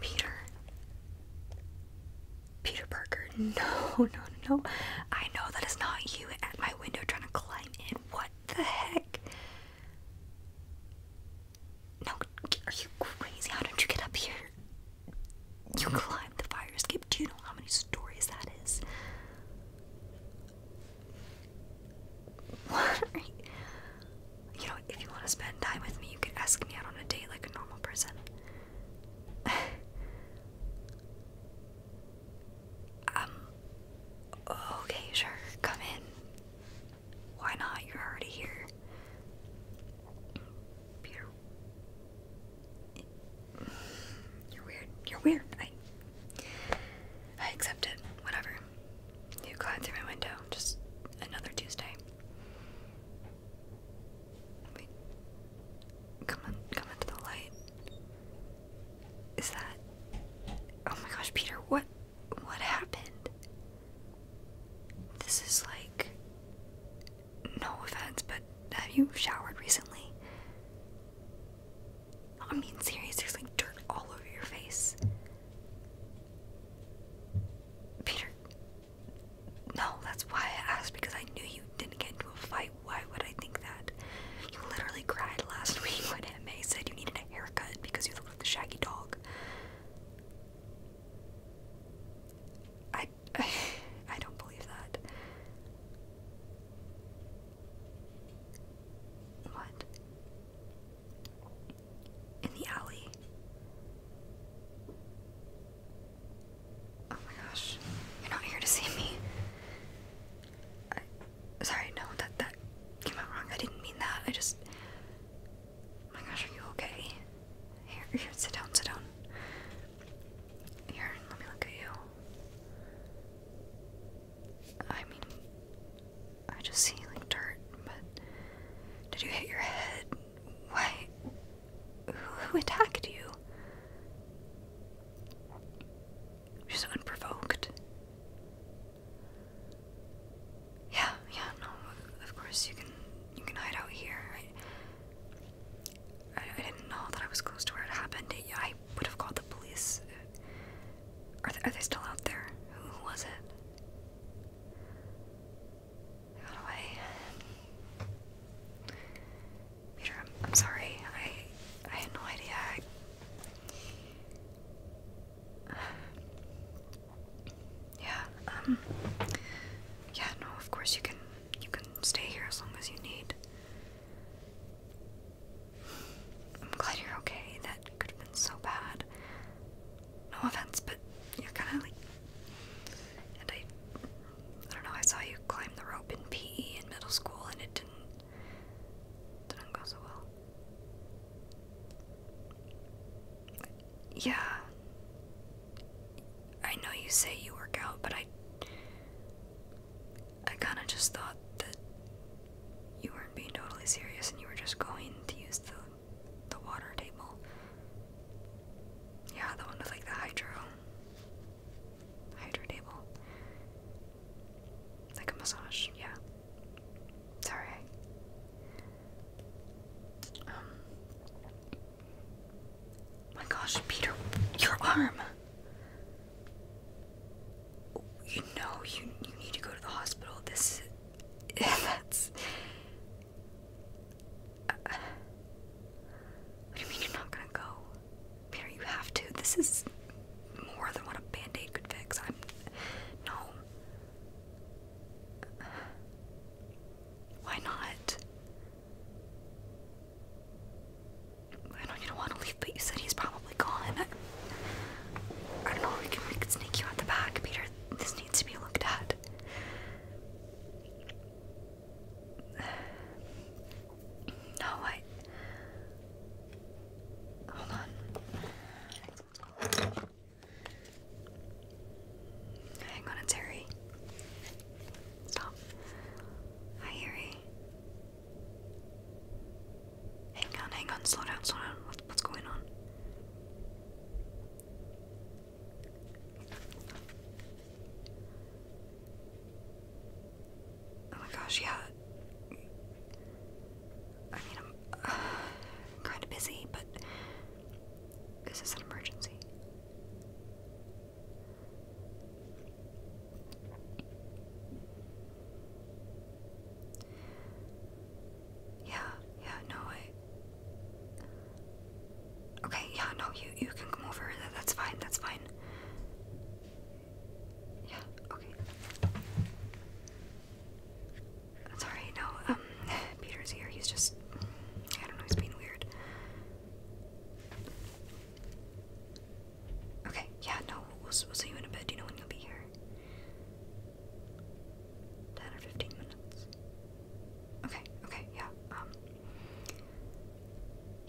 Peter. Peter Parker. No, no, no. I know that it's not you at my window trying to climb in. What the heck? No, are you crazy? How did you get up here? You climbed the fire escape. Do you know how many stories that is? you? know, if you want to spend time with me, you can ask me out on a date like a normal person. um, okay, sure, come in. Why not? You're already here. Peter, you're weird. You're weird. I I accept it. Whatever. You climb through my window. Just another Tuesday. Come on, come into the light. Is that? Oh my gosh, Peter, what what happened? This is like no offense, but have you showered recently? I mean, seriously, there's like dirt all over your face. Peter, no, that's why I asked because I knew you didn't get into a fight. Why would I think that? You literally cried last week when MA said you needed a haircut because you looked like a shaggy dog. I I don't believe that. What? In the alley? Oh my gosh. You're not here to see me. I, sorry, no, that that came out wrong. I didn't mean that. I just my gosh, are you okay? Here, here, sit down, sit down. Here, let me look at you. I mean, I just see like dirt, but did you hit your head? Why? Who attacked you? Just unprovoked. Yeah, yeah, no, of course you can you can hide out here. I, didn't know that I was close to where it happened. I would have called the police. Are they, still out there? Who, was it? They got away. Peter, I'm, sorry. I, I had no idea. yeah, um, yeah, no, of course you can you can stay here as long as you need. I'm glad you're okay. That could have been so bad. No offense, but you're kind of like. And I. I don't know, I saw you climb the rope in PE in middle school and it didn't. didn't go so well. Yeah. I know you say you work out, but I I kind of just thought that you weren't being totally serious and you were just going to use the the water table. Yeah, the one with like the hydro hydro table. Like a massage, yeah. It's my gosh, Peter, your arm. You know you you need to go to the hospital. This that's What do you mean you're not gonna go? Peter, you have to. This is more than what a band-aid could fix. I'm no. Why not? I know you don't want to leave, but you said he's probably gone. I, know, we can, sneak you out the back, Peter. This needs to be looked at. No, I. Hold on. Hang on, it's Harry. Stop. Hi, Harry. Hang on, hang on, slow down, slow down. What, what's going on? Oh my gosh, yeah. I mean, I'm kind of busy, but this an emergency. Yeah, yeah, no, I. Okay, yeah, no, you you can come over. that's fine. That's fine. Yeah, okay. That's No, um, Peter's here. He's just, I don't know. He's being weird. Okay, yeah, no, we'll, we'll see you in a bit. Do you know when you'll be here? 10 or 15 minutes. Okay, okay, yeah, um.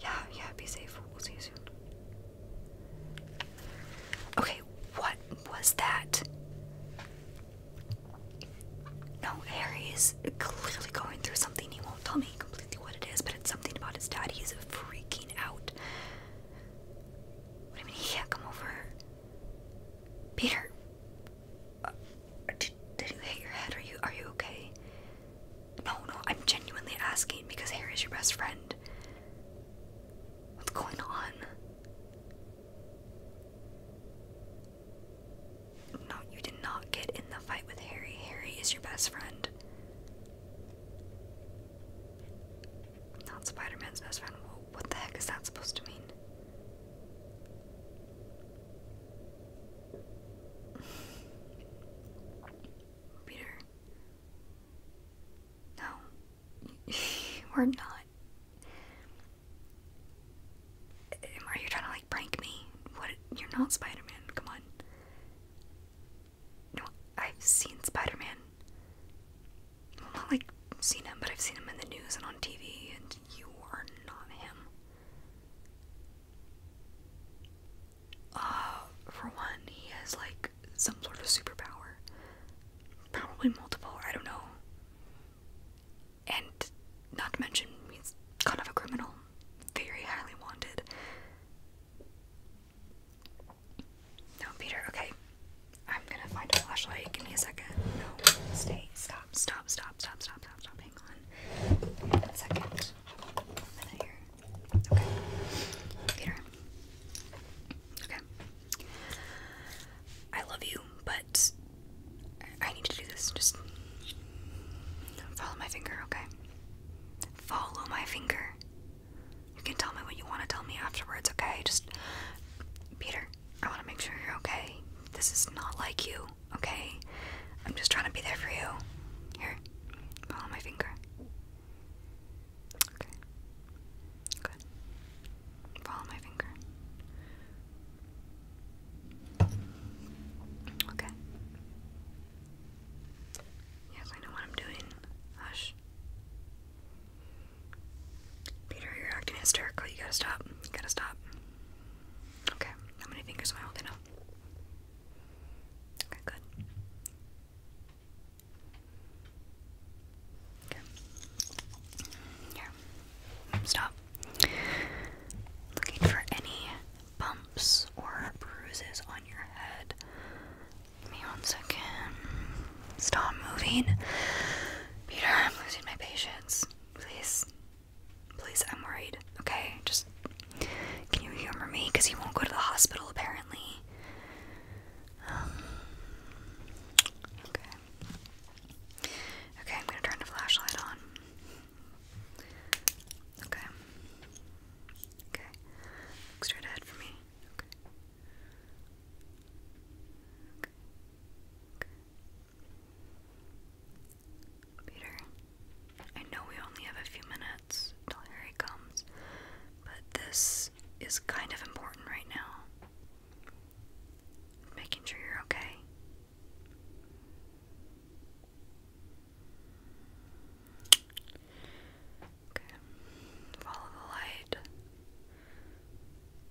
Yeah, yeah, be safe. We'll see you soon. Okay, what was that? No, Harry is clearly going through something. He won't tell me completely what it is, but it's something about his dad. He's freaking out. What do you mean he can't come over? Peter, uh, did you hit your head? Are you are you okay? No, no, I'm genuinely asking because Harry's your best friend. What's going on? No, you did not get in the fight with Harry. Harry is your best friend. Not Spider Man's best friend. what the heck is that supposed to mean? Peter. No. We're not. Are you trying to like prank me? What? You're not Spider Man. Come on. No, I've seen Spider Man. not like seen him, but I've seen him in the news and on TV, and you are not him. Uh, for one, he has like some sort of superpower. Probably multiple, I don't know and not to mention he's kind of a criminal, very highly wanted. No, Peter, okay. I'm gonna find a flashlight. Give me a second. No, stay. Stop, stop, stop, stop, stop, stop, stop. Hang on. One second. Okay. Peter. Okay. I love you, but I need to do this. Just follow my finger, okay? Follow my finger. You can tell me what you want to tell me afterwards, okay? Just, Peter, I want to make sure you're okay. This is not like you, okay? I'm just trying to be there for you. Here, follow my finger. Okay. Good. Follow my finger. Okay. Yes, I know what I'm doing. Hush. Peter, you're acting hysterical. You gotta stop. You gotta stop. Okay. How many fingers am I holding up? Okay, good. Okay. Here. Stop. Looking for any bumps or bruises on your head. me one second. Stop moving. Peter, I'm losing my patience. Please. Please, I'm worried. Okay, just can you humor me? Because he won't go to the hospital apparently. Um, okay. Okay, I'm gonna turn the flashlight on. Okay. Okay. straight ahead for me. Okay. Peter, I know we only have a few minutes till Harry comes, but this is kind of important right now. Making sure you're okay. Follow the light.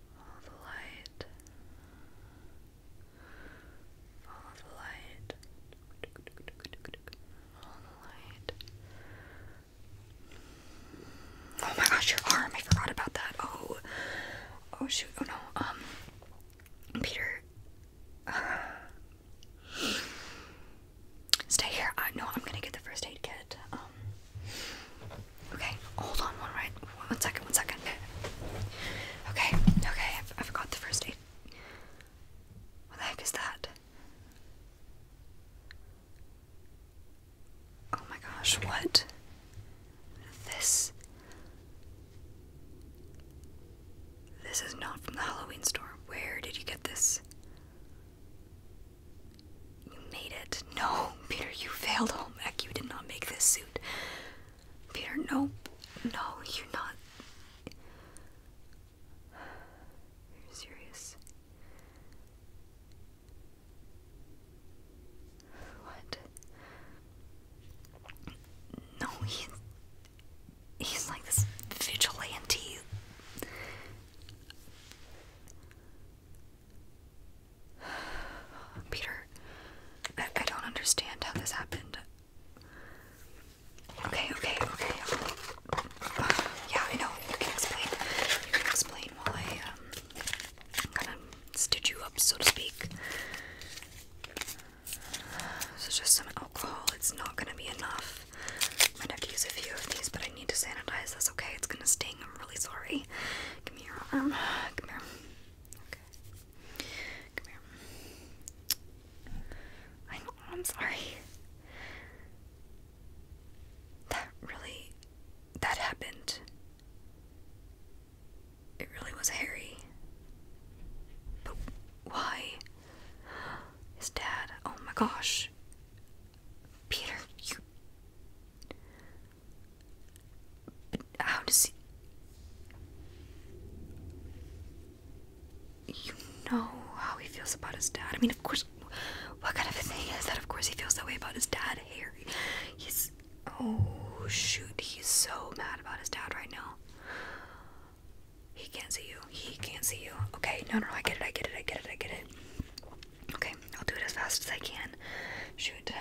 Follow the light. Follow the light. Follow the light. Oh my gosh, your arm. I forgot about that. Oh. Oh shoot! Oh no! Um, Peter, stay here. I know I'm gonna get the first aid kit. Um, okay, hold on one right, one second, one second. Okay, okay, I've, I've got the first aid. What the heck is that? Oh my gosh, what? This. This is not from the Halloween store. Where did you get this? You made it. No, Peter, you failed home ec. You did not make this suit. Peter, nope. No, you're not. You're serious. What? No, he he's like this vigilante. Peter, I, don't understand how this happened. Okay, okay, okay. yeah, I know. You can explain. You can explain while I um, kind of stitch you up, so to speak. So just some alcohol. It's not gonna be enough. Might have to use a few of these, but I need to sanitize this. Okay, it's gonna sting. I'm really sorry. Give me your arm. Come here. Okay. Come here. I'm sorry. That really. That happened. It really was Harry. But why? His dad. Oh my gosh. Peter, you. But how does he. You know how he feels about his dad. I mean, of course. What kind of a thing is that? Of course, he feels that way about his dad, Harry. He's. Oh, shoot. He's so mad about his dad right now. He can't see you. He can't see you. Okay, no, no, I get it. I get it. I get it. I get it. Okay, I'll do it as fast as I can. Shoot.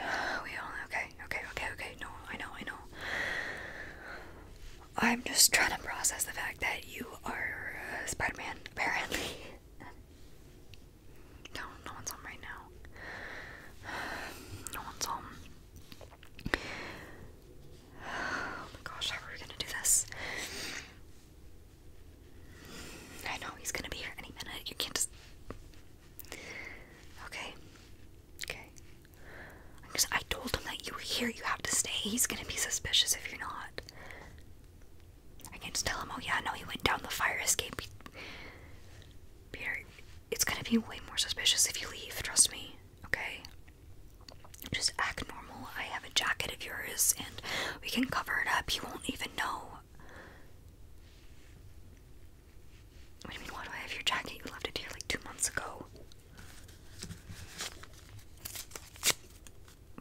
We all. Okay, okay, okay, okay. No, I know, I know. I'm just trying to process the fact that you are uh, Spider Man, apparently. No, no one's home right now. No one's home. Oh my gosh, how are we gonna do this? I know he's gonna be here any minute. You can't just. Okay. Okay. Because I told him that you were here, you have to stay. He's gonna be suspicious if you're not. I can just tell him, oh yeah, no, he went down the fire escape. Peter, it's gonna be way more suspicious if you leave, trust me, okay? Just act normal. I have a jacket of yours and we can cover it up. You won't even know. What do you mean, why do I have your jacket? You left it here like two months ago.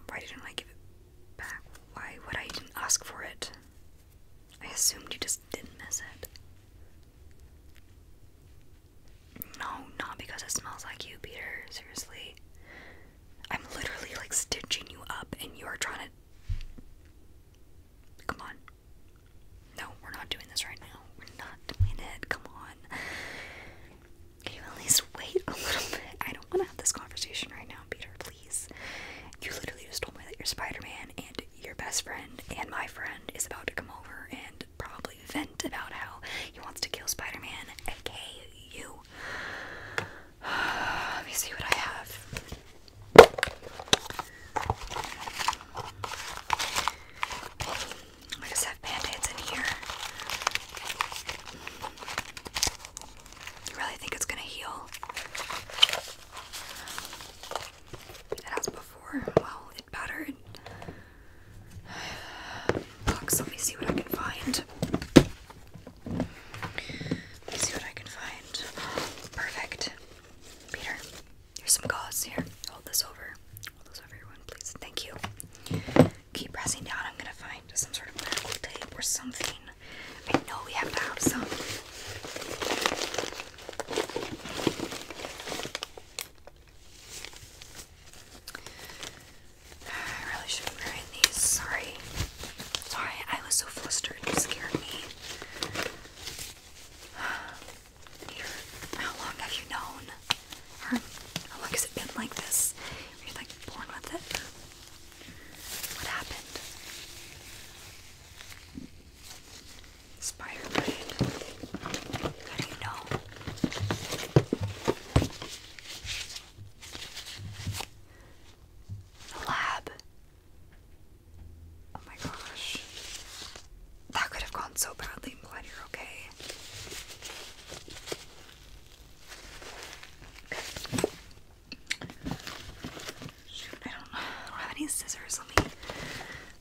Why didn't I give it back? Why would I ask for it? I assumed you just didn't miss it. No, not because it smells like you, Peter. Seriously. I'm literally like stitching you up and you're trying to. Come on. No, we're not doing this right now. We're not doing it. Come on. Can you at least wait a little bit? I don't want to have this conversation right now, Peter please. You literally just told me that you're Spider Man and your best friend and my friend is about to come over and probably vent about how he wants to kill Spider Man, aka you. Let me see what I have. I just have band aids in here. You really think it's gonna heal? It has before. Well, it battered. Box, let me see what I can find. Let me see what I can find. Perfect. Peter, here's some gauze here. Hold this over. Hold this over, everyone, please. Thank you. Keep pressing down. I'm gonna find some sort of medical tape or something. I know we have to have some. I really should be wearing these. Sorry. Sorry, I was so flustered. You scared me. how long have you known? how long has it been like this? Were you like born with it? What happened? Spider How do you know? The lab. Oh my gosh. That could have gone so badly. i you're okay. I don't, have any scissors. Let me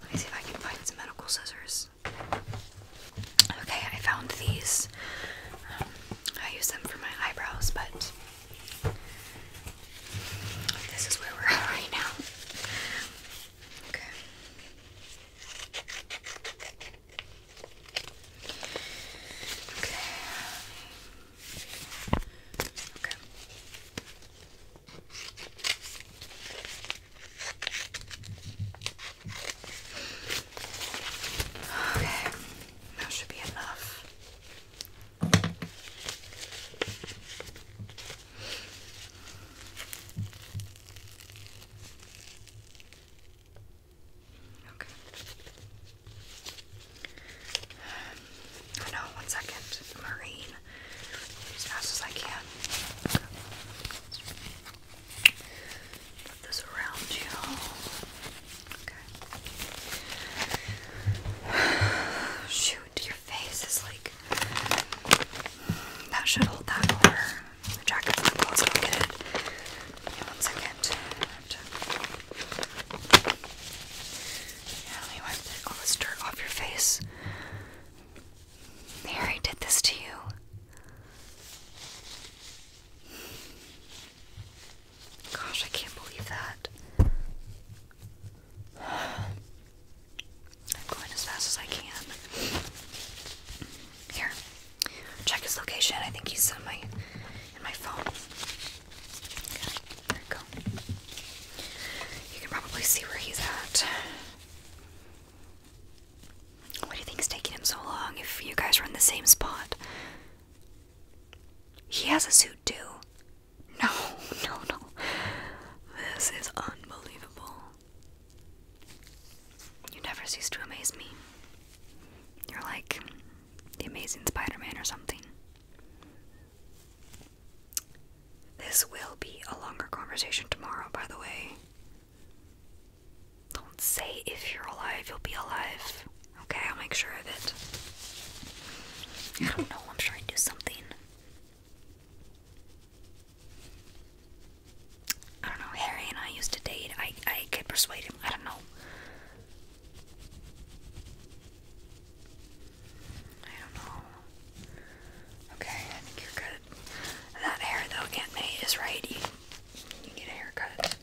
let me see if I can find some medical scissors. Okay, I found these. Um, I use them for my eyebrows, but this is where we're at right now. Okay. Okay. Okay, that should be enough. Okay. I know, one second. Marine. As fast as I can. Put this around you. Okay. Shoot, your face is like. That should hold that over. The jacket. let one second that. Yeah, all this dirt off your face. They did this to you. Gosh, I can't believe that. I'm going as fast as I can. Here, check his location. I think he's somewhere and my phone. there we go. You can probably see where he's at. What do you think is taking him so long if you guys are in the same spot? He has a suit too. No, no, no. This is unbelievable. You never cease to amaze me. You're like, the Amazing Spider Man or something. This will be a longer conversation tomorrow, by the way. Don't say if you're alive, you'll be alive. Okay, I'll make sure of it. I don't know, I'm sure i do something. I don't know, Harry and I used to date. I I could persuade him. I don't know. I don't know. Okay, I think you're good. That hair though, Aunt May is right. You, need a haircut.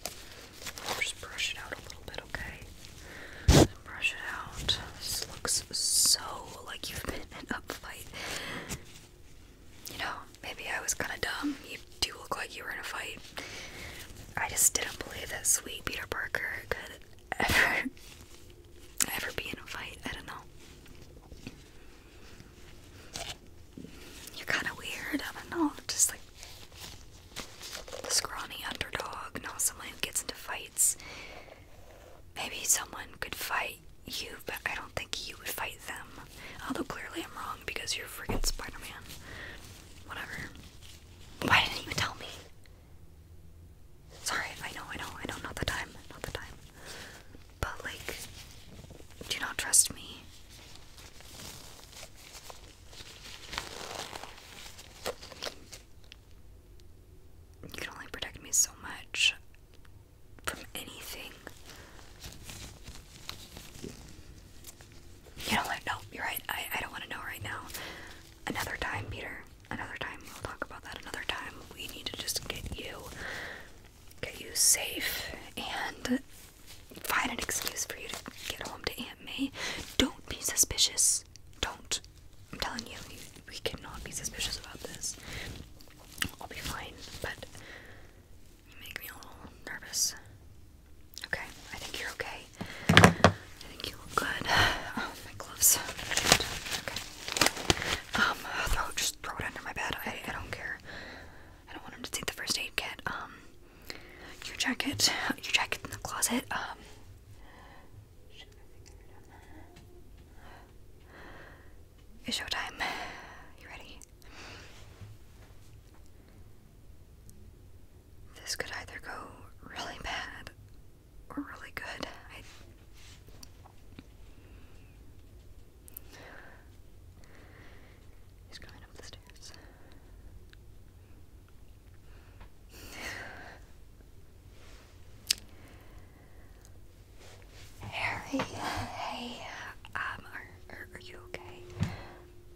Just brush it out a little bit, okay? brush it out. This looks so like you've been in an upfight. You know, maybe I was kind of dumb do look like you were in a fight. I just didn't believe that sweet Peter Parker could ever, ever be in a fight. I don't know. You're kind of weird. I don't know. Just like the scrawny underdog, not someone who gets into fights. Maybe someone could fight you, but I don't think you would fight them. Although clearly I'm wrong because you're friggin' Spider Man. Whatever. Why didn't you tell me? Sorry, I know, I know, I know, not the time, not the time. But, like, do you not trust me? You can only protect me so much from anything. You know what? No, you're right. I, I don't want to know right now. Another time, Peter. Another time. We'll talk about that another time. We need to just get you get you safe and find an excuse for you to get home to Aunt May. Don't be suspicious. Don't. I'm telling you we cannot be suspicious about this. I'll be fine, but you make me a little nervous. Okay, I think you're okay. I think you look good. Oh, my gloves. Okay. Um, uh, throw just throw it under my bed. I I don't care. I don't want him to take the first aid kit. Um, your jacket, your jacket in the closet. Um. It's showtime. You ready? This could either go really bad or really good. He's coming up the stairs. Harry, hey, um, are, are you okay?